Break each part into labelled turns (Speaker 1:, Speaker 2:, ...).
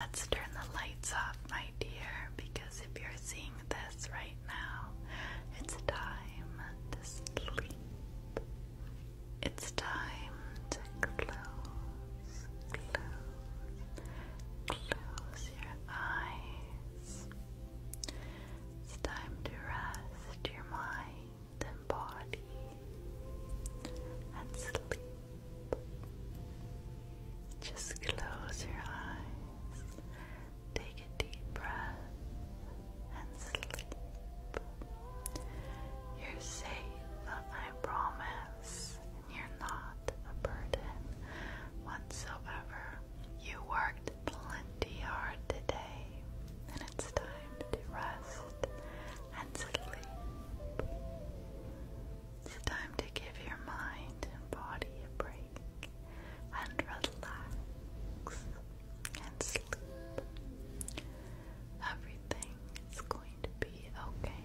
Speaker 1: Let's turn the lights off, my dear, because if you're seeing this right now, it's time to sleep. It's time to close, close, close your eyes.
Speaker 2: It's time to rest your mind and body and sleep. Just close your eyes, take a deep breath, and sleep.
Speaker 1: You're safe, I promise, you're not a burden whatsoever. You worked plenty hard today, and it's time to rest and sleep. It's time to give your mind and body a break and relax and sleep. Everything is going to be okay.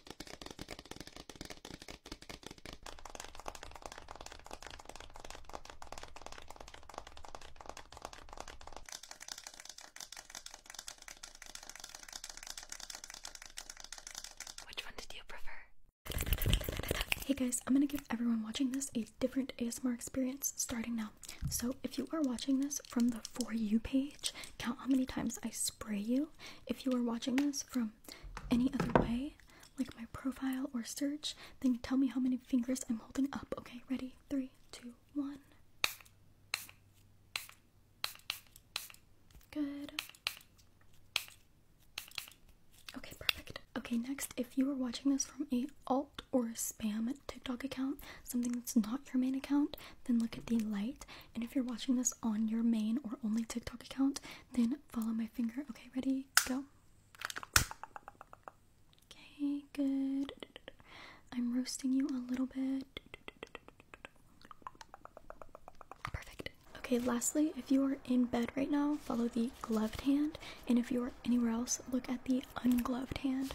Speaker 2: Which one did you prefer?
Speaker 3: Hey guys, I'm gonna give everyone watching this a different ASMR experience starting now. So, if you are watching this from the For You page, count how many times I spray you. If you are watching this from any other way, like my profile or search, then tell me how many fingers I'm holding up. Okay, ready? Three, two, one. Good. Okay, perfect. Okay, next, if you are watching this from a alt or a spam TikTok account, something that's not your main account, then look at the light and if you're watching this on your main or only TikTok account, then follow my finger. Okay, ready? Go. Okay, good. I'm roasting you a little bit. Perfect. Okay, lastly, if you are in bed right now, follow the gloved hand. And if you are anywhere else, look at the ungloved hand.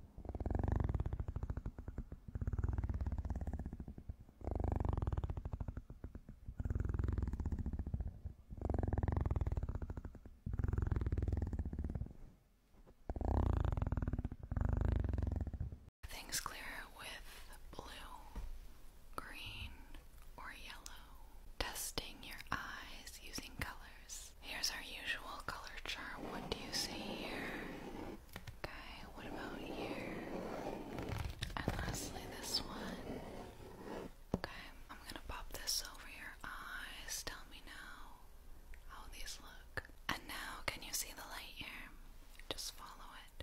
Speaker 1: Things clear with blue, green, or yellow. Testing your eyes using colors. Here's our usual color chart. What do you see here? Okay, what about here? And lastly, this one. Okay, I'm gonna pop this over your eyes. Tell me now how these look. And now, can you see the light here? Just follow it.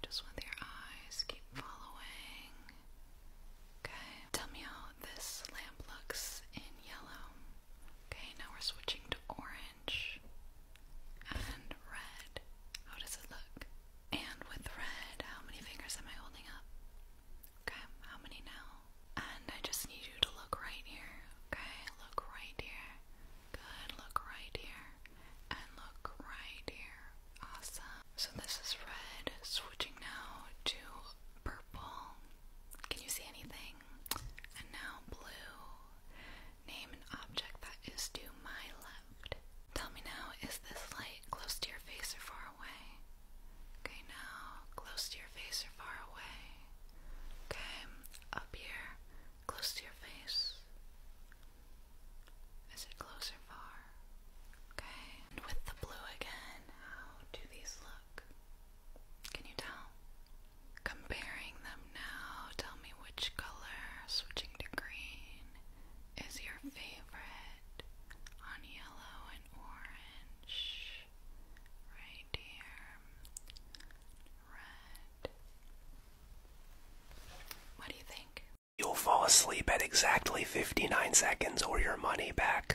Speaker 1: Just with your eyes, keep following. Okay, tell me how this lamp looks in yellow. Okay, now we're switching to orange and red. How does it look? And with red, how many fingers am I holding up? Okay, how many now? And I just need you to look right here. Okay, look right here. Good, look right here. And look right here. Awesome. So this is red. Switching now to purple. Can you see anything? And now blue. Name an object that is to my left. Tell me now, is this light close to your face or far away? Okay, now close to your face or far away. Okay, up here, close to your face. Is it close or far? Okay, and with the blue again, how do these look? Can you tell? Comparing them now, tell me which color, switching to green, is your favorite on yellow and orange, right here,
Speaker 2: red. What do you think? You'll fall asleep at exactly 59 seconds or your money back.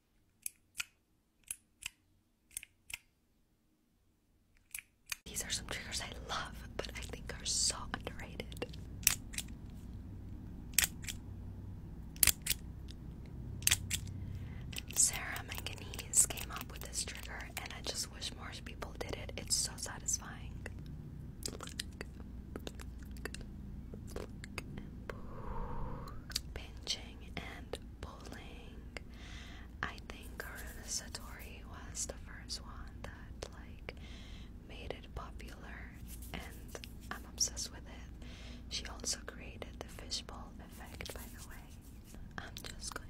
Speaker 4: These are some triggers I love, but I think are so underrated. Sarah Manganese came up with this trigger, and I just wish more people did it. It's so satisfying. Pinch and bowling. I think Karuna Satori was the first one that like made it popular and I'm obsessed with it. She also created the fishbowl effect by the way. I'm just going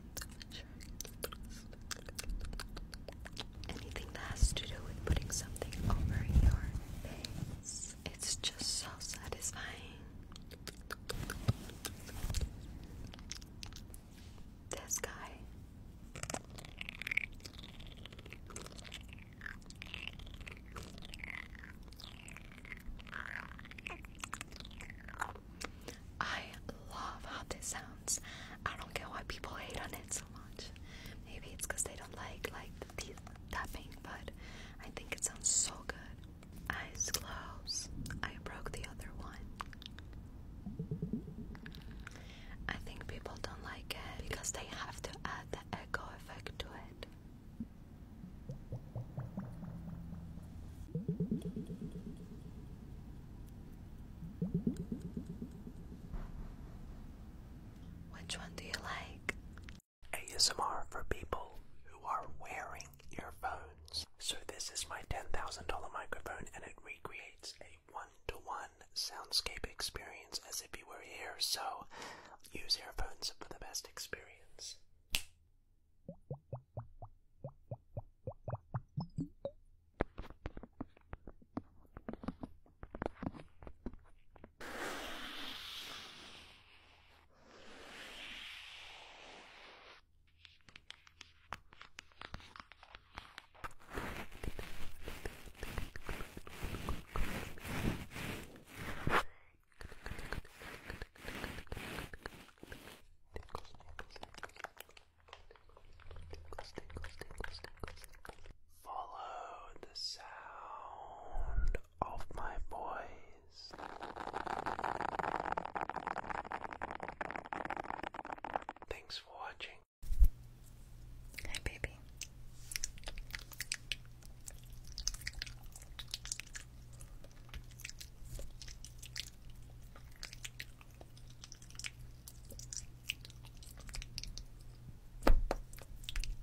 Speaker 4: anything that has to do with putting something over your face. It's just so satisfying. This guy. I love how this sounds. I don't get why people hate on it so much. Maybe it's because they don't like like these tapping, but I think it sounds so good. Eyes closed. I broke the other one. I think people don't like it because they have to add the echo effect to it.
Speaker 2: Which one do you like? ASMR for people who are wearing earphones. So this is my $10,000 microphone and it recreates a one-to-one soundscape experience as if you were here. So use earphones for the best experience. Follow the sound of my voice. Thanks for watching. Hi, baby.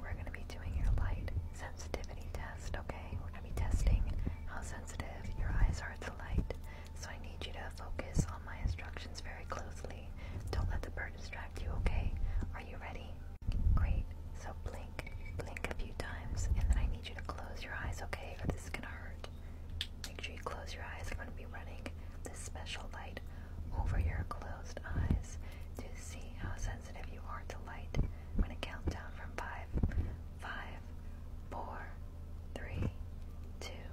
Speaker 2: We're going to be doing your light sensitivity test, okay? We're going to be testing how sensitive your eyes are to light. So I need you to focus on my instructions very closely. Don't let the bird distract you, okay? Are you ready? Great. So blink, blink a few times, and then I need you to close your eyes, okay? Or this is going to hurt. Make sure you close your eyes. I'm going to be running this special light over your closed eyes to see how sensitive you are to light. I'm going to count down from five, five, four, three, two,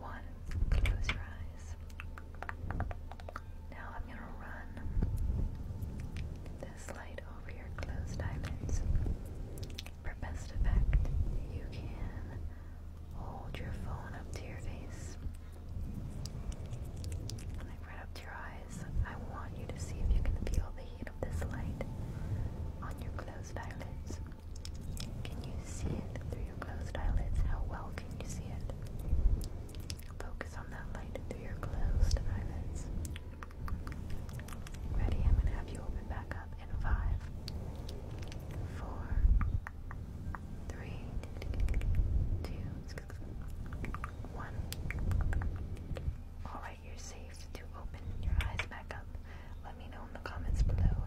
Speaker 2: one. Close your eyes.
Speaker 3: Now I'm going to run this light over your closed eyelids. For best effect, you can hold your
Speaker 2: phone up to your face. right up to your eyes. I want you to see if you can feel the heat of this light on your closed eyelids. Can you see it through your closed eyelids? How well can you see it? Focus on that light through your closed eyelids. Ready? I'm gonna have you open back in five, four, three, two, one. All right, you're safe to open your eyes back up. Let me know in the comments below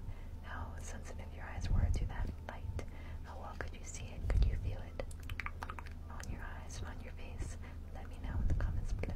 Speaker 2: how sensitive your eyes were to that light. How well could you see it? Could you feel it on your eyes, on your face? Let me know in the comments below.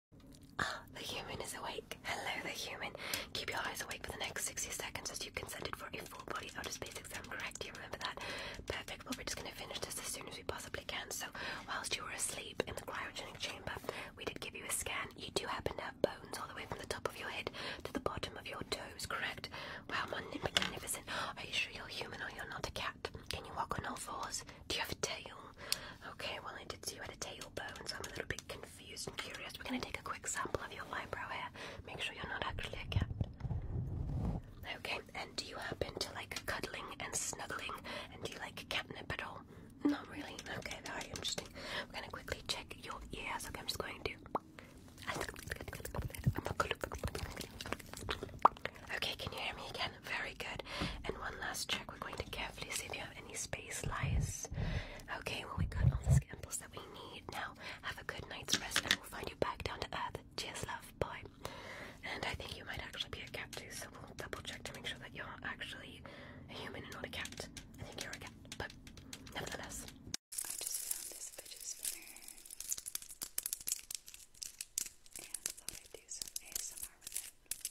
Speaker 2: Ah, the human is awake. Hello, the human. Keep your eyes awake for the next 60 seconds as you consented for a full body outer space exam, correct? Do you remember that? Perfect. Well, we're just going to finish this as soon as we possibly can. So, whilst you were asleep in the cryogenic chamber, we did give you a scan. You do happen to have bones all the way from the top of your head to the bottom of your toes, correct? Wow, magnificent. Are you sure you're human or you're not a cat? Can you walk on all fours? Do you have a tail? Okay, well I did see you had a tailbone, so I'm a little bit confused and curious. We're gonna take a quick sample of your eyebrow hair. Make sure you're not actually a cat. Okay, and do you happen to like cuddling and snuggling? And do you like catnip at all? Not really. Okay, very interesting. We're gonna quickly check your ears. Okay, I'm just going to. Okay, can you hear me again? Very good. And one last check. We're going to carefully see if you have any space lies. Okay, well, we got all the samples that we need. Now, have a good night's rest and we'll find you back down to earth. Cheers, love. Bye. And I think you might actually be a cat too, so we'll double check to make sure that you're actually a human and not a cat. I think you're a cat, but nevertheless. I just found this fidget spinner and thought I'd do some ASMR with it.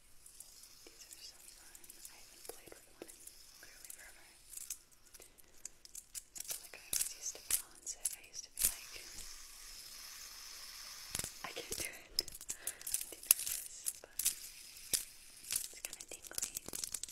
Speaker 2: These are so fun. I haven't played with one in literally forever. That's like I always used to be on set. I used to be like, I can't do it. I'm too nervous, but it's kind of tingly. Don't you think so?